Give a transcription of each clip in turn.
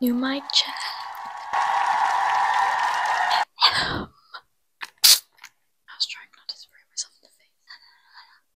You might check. I was trying not to spray myself in the face.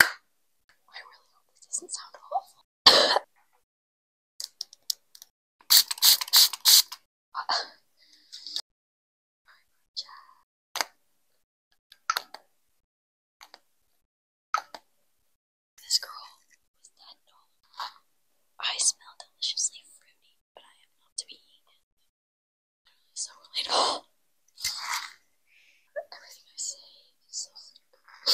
I really hope this doesn't sound awful. this girl was that dead I smell deliciously fruity, but I am not to be eaten. Really so relatable. Everything I say is so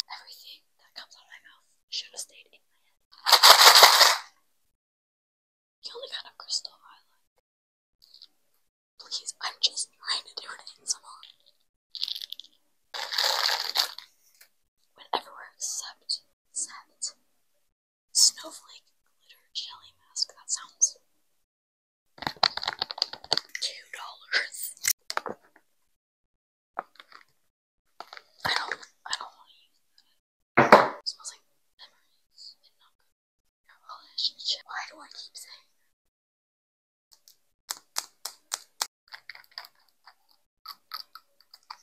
everything that comes out of my mouth should have stayed in my head. The only kind of crystal I like. Please, I'm just trying to do it Whenever except set snowflake glitter jelly mask that sounds two dollars. I don't, I don't want to use that. smells like memories Why do I keep saying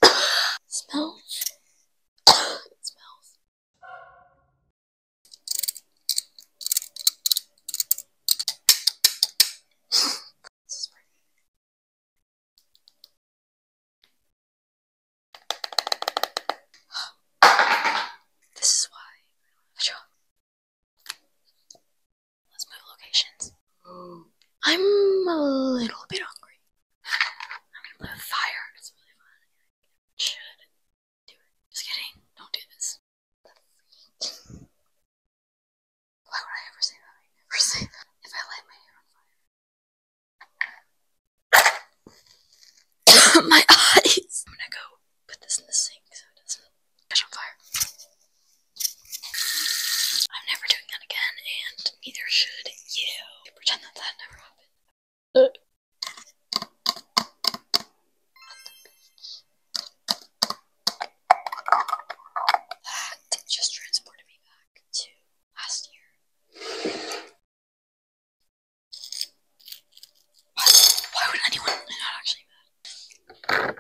that? smells. smells. This is why I draw. Let's move locations. I'm a little bit hungry. I'm gonna play fire. It's really fun. Should do it. Just kidding. Don't do this. Why would I ever say that? I never say If I light my hair on fire. my eyes! I'm gonna go put this in the sink so it doesn't catch on fire. I'm never doing that again, and neither should you. Pretend that that never happened. That just transported me back to last year. Why, would anyone not actually mad?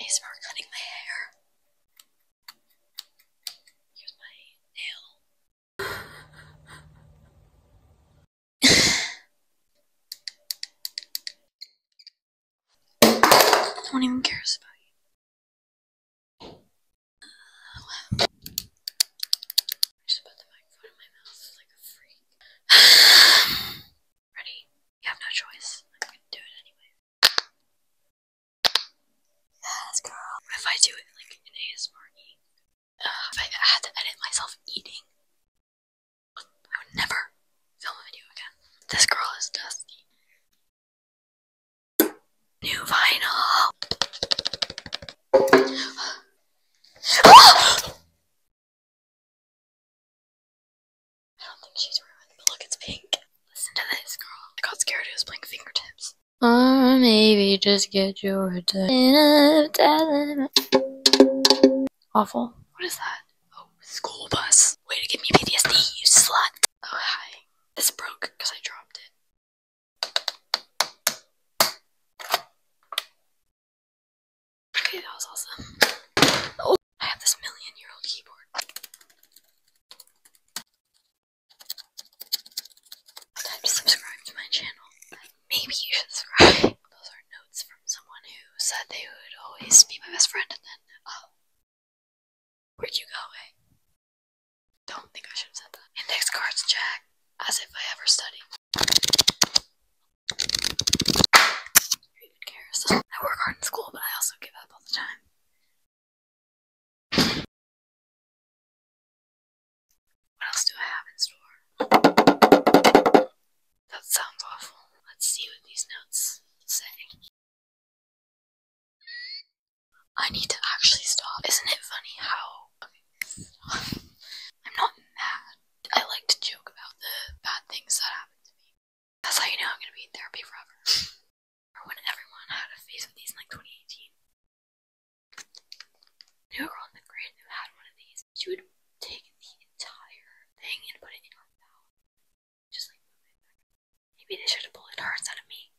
ASMR cutting my hair. Here's my nail no one even cares about you. Ready? You have no choice. I'm gonna do it anyway. Yes, girl. If I do it like an ASMR if I had to edit myself eating, I would never film a video again. This girl is dusty. New vinyl! I don't think she's ruined, but look, it's pink. Listen to this, girl. I got scared it was playing fingertips. Or maybe just get your time Awful. What is that? Oh, school bus. Way to give me PTSD, you slut. Oh, hi. This broke because I dropped it. Okay, that was awesome. Oh, I have this million year old keyboard subscribe to my channel. Maybe you should subscribe. Those are notes from someone who said they would always be my best friend, and then, oh, where'd you go away? Eh? Don't think I should have said that. Index cards, Jack. As if I ever studied. even cares? I work hard in school, but I also give up all the time. What else do I have in store? That sounds awful. Let's see what these notes say. I need to actually stop. Isn't it funny how I'm not mad. I like to joke about the bad things that happen to me. That's how you know I'm gonna be in therapy forever. or when everyone had a phase of these in like 2018. The girl in the grid who had one of these, she would take the entire thing and put it in her mouth. Just like Maybe they should have bullied her instead of me.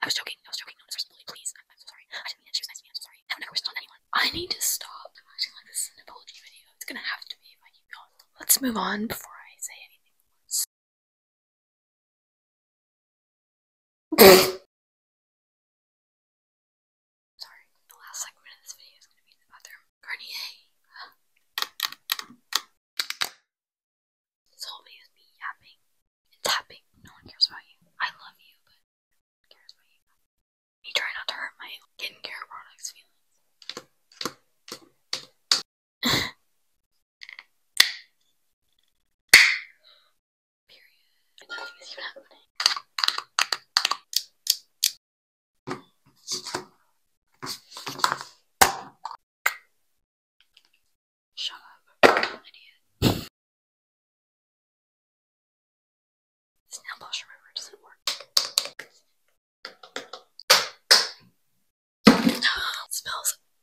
I was joking, I was joking, no one please. I'm, so sorry. I didn't mean that she me, I'm sorry. I've never wished anyone. I need to stop acting like this is an apology video. It's gonna have to be if I keep going. Let's move on before I say anything. Sorry, the last segment of this video is going to be the other This whole video is me yapping tapping. No one cares about you. I love you, but no one cares about you. Me trying not to hurt my skincare products feelings. Period. Shut up, idiot. This nail polish remover doesn't work. it smells